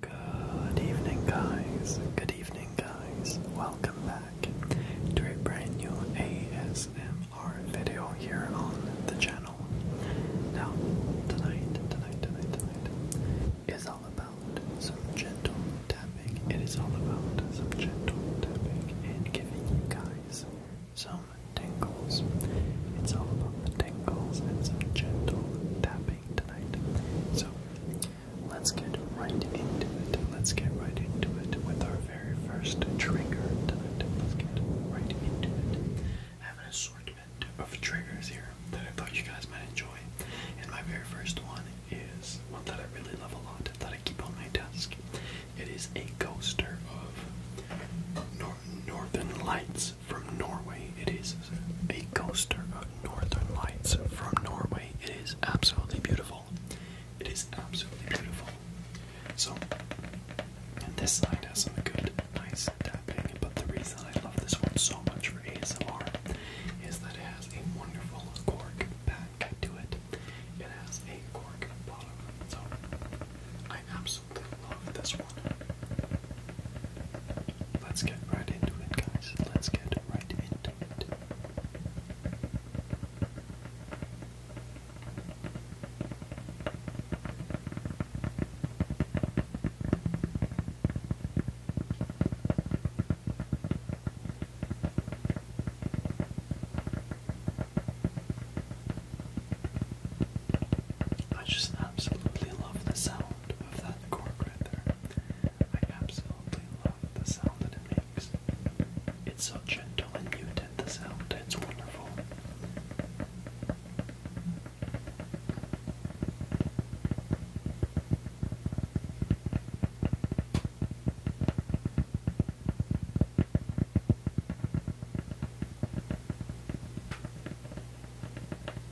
Good evening, guys. Good evening, guys. Welcome back to a brand new ASMR video here on the channel. Now, tonight, tonight, tonight, tonight is all about some gentle tapping. It is all about some gentle tapping and giving you guys some tingles. It's all about the tingles and some gentle tapping. So let's get right into it. Let's get right into it with our very first trigger tonight. Let's get right into it. I have an assortment of triggers here that I thought you guys might enjoy. And my very first one is one that I really love a lot that I keep on my desk. It is a coaster of Northern Lights from Norway. It is a coaster of Northern Lights from Norway. It is absolutely beautiful. It is absolutely beautiful. So, and this side has some good, nice tapping, but the reason I love this one so much for ASMR is that it has a wonderful cork back to it. It has a cork bottom. So, I absolutely love this one. Let's get right into it, guys. Let's get right into it. I just absolutely love the sound of that cork right there. I absolutely love the sound that it makes. It's so gentle and muted, the sound, it's wonderful.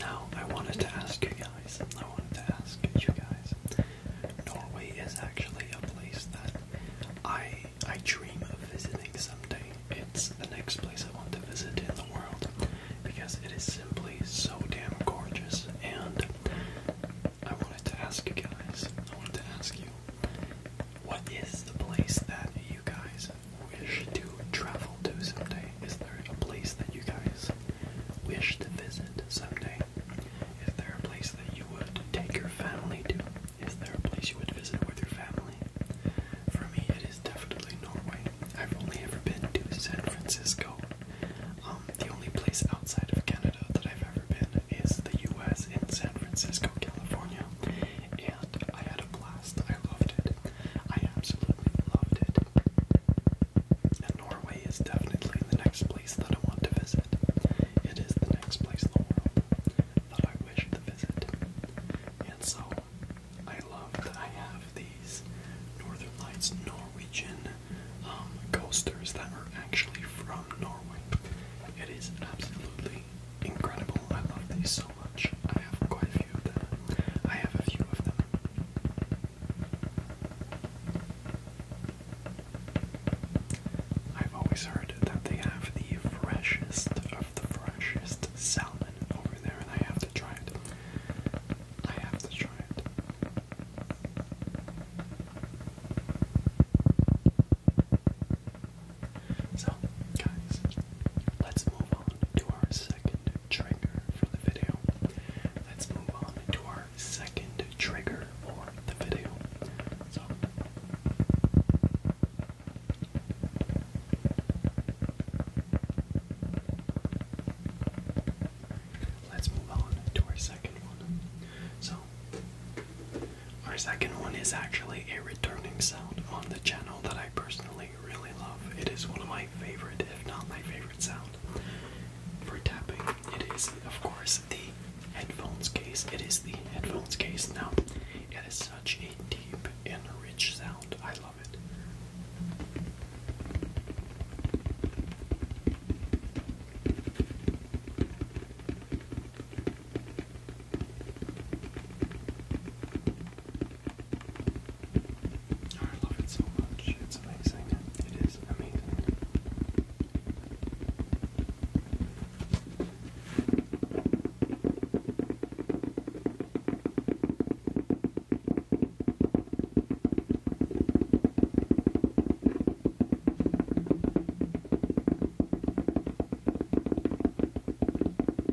Now, I wanted to ask you guys, I wanted to ask you guys, Norway is actually a place that I I dream of visiting someday. It's the next place I want to visit in the world because it is simply so damn gorgeous. And I wanted to ask you guys, I wanted to ask you, what is the place that you guys wish to travel to someday? Is there a place that you guys wish to visit someday? Is there a place that you would take your family to? Is there a place you would visit with your family? For me, it is definitely Norway. I've only ever been to San Francisco. Um, the only place outside of Canada that I've ever been is the U.S. in San Francisco, California, and I had a blast. I loved it. I absolutely loved it. And Norway is definitely the next place that I want to visit. It is the next place in the world that I wish to visit. And so I love that I have these Northern Lights Norwegian um, coasters that are actually from Norway. It is absolutely incredible. I love these so I have quite a few of them. I have a few of them. I've always heard that they have the freshest of the freshest salmon over there, and I have to try it. I have to try it. So, guys, let's move on to our second trigger for the video. Let's move on to our second trigger for the video. So Let's move on to our second one. So, our second one is actually a returning sound on the channel that I personally really, really love. It is one of my favorite, if not my favorite sound for tapping. It is, of course, the headphones case. It is the headphones case. Now, it is such a deep and rich sound. I love it. I love it so much. It's amazing. It is amazing.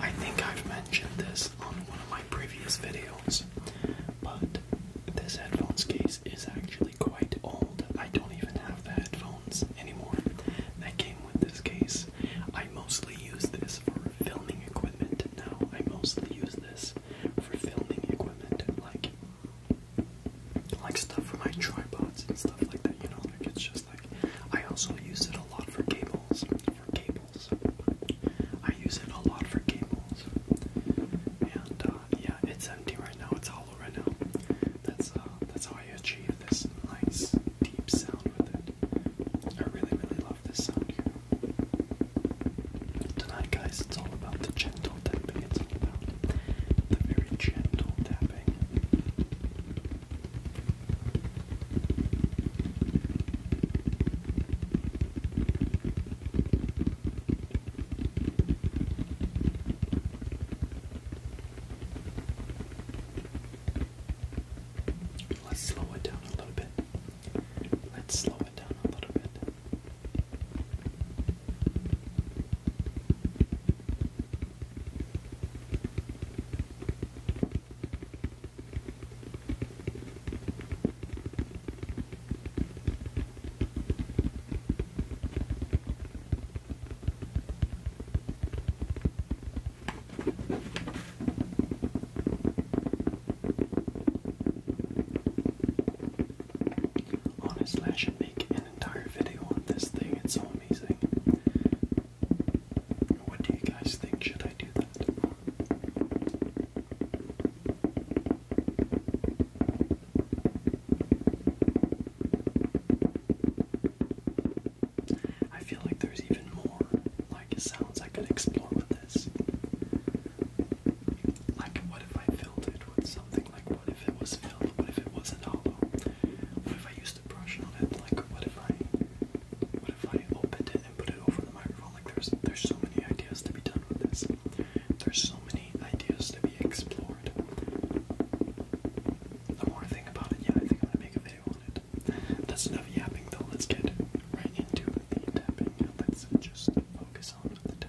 I think I've mentioned this on one of my previous videos, but this headphones case is actually quite old. I don't even have the headphones anymore that came with this case. I mostly use this for filming equipment now. I mostly use this for filming equipment like like stuff for my tripods and stuff like that, you know, like it's just I also use it a lot for cables. For cables, I use it a lot for cables. And uh, yeah, it's empty right now. It's hollow right now. That's uh, that's how I achieve this nice deep sound with it. I really really love this sound here. Tonight, guys, it's all about the gentle tapping. It's all about the very gentle tapping. Let's slow it down a little bit. Let's slow it down a little bit. Honestly, I should make an entire video on this thing. It's so amazing. What do you guys think? Should I do that? I feel like there's even more like sounds I could explore with this. Like, what if I filled it with something? Like, what if it was filled? What if it wasn't hollow? What if I used first impression it. Like, what if I, what if I opened it and put it over the microphone? Like, there's there's so many ideas to be done with this. There's so many ideas to be explored. The more I think about it, yeah, I think I'm gonna make a video on it. That's enough yapping, though. Let's get right into the tapping. Let's just focus on the tapping.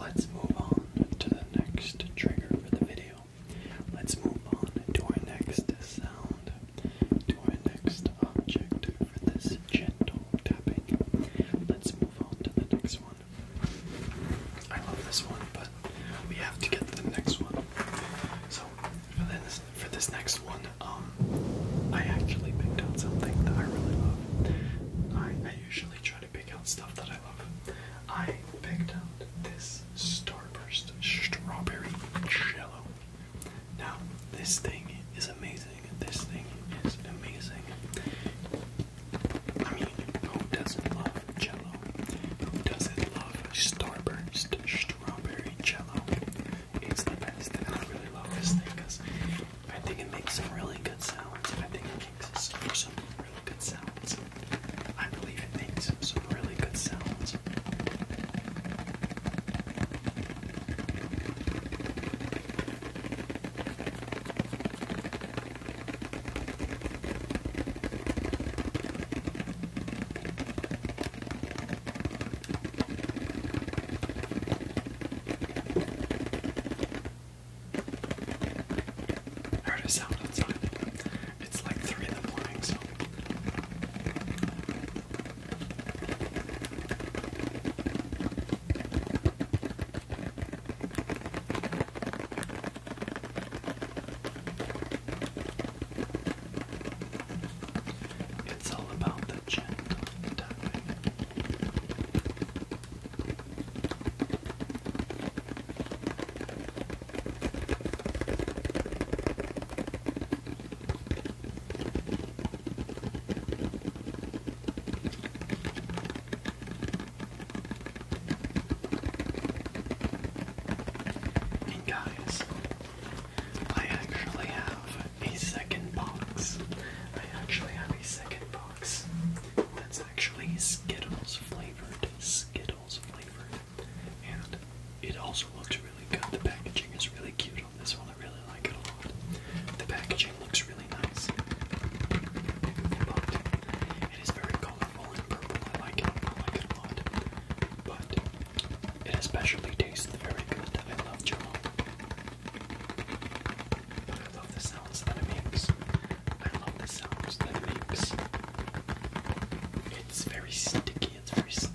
Let's move on to the next trigger for the video let's move on to our next sound, to our next object for this gentle tapping. Let's move on to the next one. I love this one, but we have to get the next one. So for this for this next one, um, I actually picked out something that I really love. I I usually try to be pick out stuff that I love. I picked out this Starburst Strawberry Jello. Now, this thing is amazing. This thing is amazing. I mean, who doesn't love Jello? Who doesn't love Starburst Strawberry Jello? It's the best, and I really love this thing because I think it makes some really good salads makes some, really good sounds. I believe it makes some really good sounds. I heard a sound outside. It's like 3 in the morning, so. It's all about the gentle tapping. And guys, I actually have a second box. I actually have a second box. That's actually Skittles flavored. Skittles flavored. And it also looks really good. The packaging is really cute on this one. I really like it a lot. The packaging looks really nice. But it is very colorful and purple. I like it. I like it a lot. But it especially tastes very good. I love jello. I love sounds that it makes. I love the sounds that it makes. It's very sticky, it's very sticky.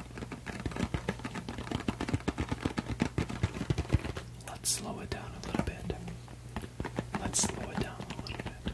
Let's slow it down a little bit. Let's slow it down a little bit.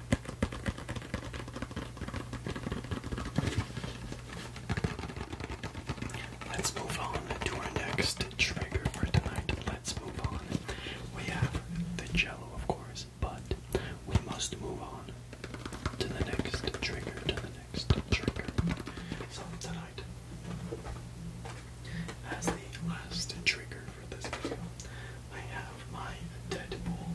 Let's move on to our next trigger for tonight. Let's move on. We have the jello, of course, but we must move on to the next trigger, to the next trigger. So, tonight, as the last trigger for this video, I have my Deadpool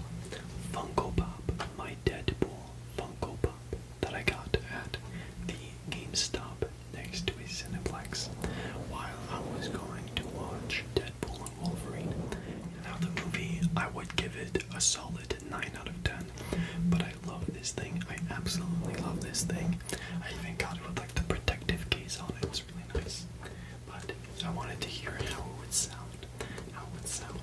Funko Pop, my Deadpool Funko Pop that I got at the GameStop next to a Cineplex while I was going to watch Deadpool and Wolverine. Now the movie, I would give it a solid 9 out of 10, but I love this thing. I absolutely love this thing. I even got it with like the protective case on it. It's really nice. But I wanted to hear how it would sound how it would sound.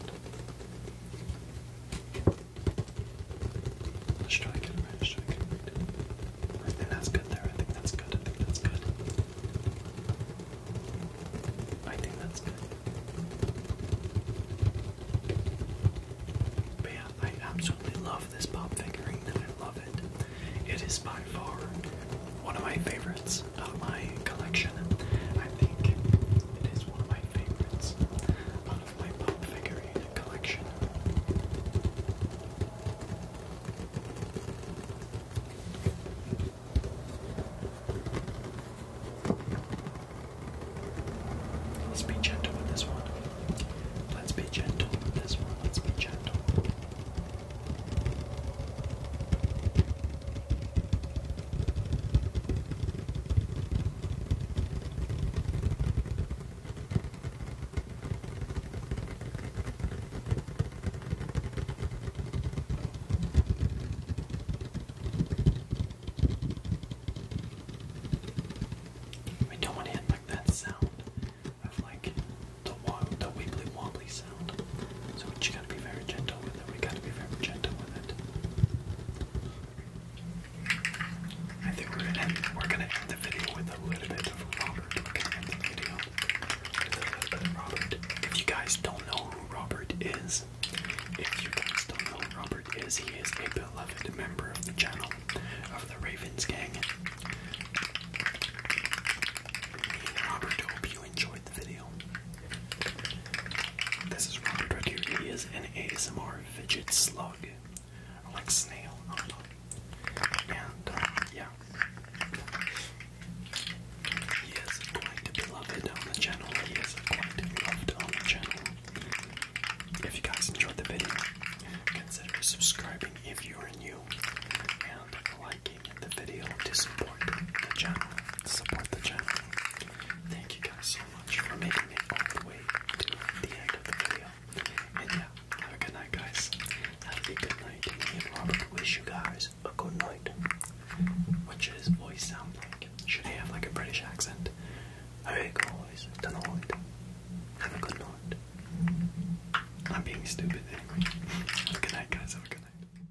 Let's try it right, let's I that's good there, I think that's good, that's good. I think that's good. yeah, I absolutely love this pop figurine, I love it. It is by far one of my favorites of my collection. I think it is one of my favorites out of my pop figurine collection. Let's be gentle with this one. Let's be gentle with this one. Let's be gentle. We don't want to hit like that sound of like the, the wibbly wobbly sound. So you gotta be very gentle with it. We gotta be very gentle with it. I think we're gonna end, we're gonna end the video with a little bit of Robert. We're gonna end the video with a little bit of Robert. If you guys don't know who Robert is, if you guys don't know who Robert is, he is a beloved member of the channel of the Ravens gang. Me and Robert hope you enjoy this is Robert right here. He is an ASMR fidget slug. like snail, And uh, yeah. He is quite beloved on the channel. He is quite loved on the channel. If you guys enjoyed the video, consider subscribing if you are new. And like liking the video to support the channel. Support the channel. Thank you guys so much for making it all the way to the end of the video. And yeah, have a good night, guys. Have a good night. Me and Robert wish you guys a good night. What should his voice sound like? Should he have like a British accent? Alright, good night. Have a good night. I'm being stupid anyway. Have a good night, guys. Have a good night.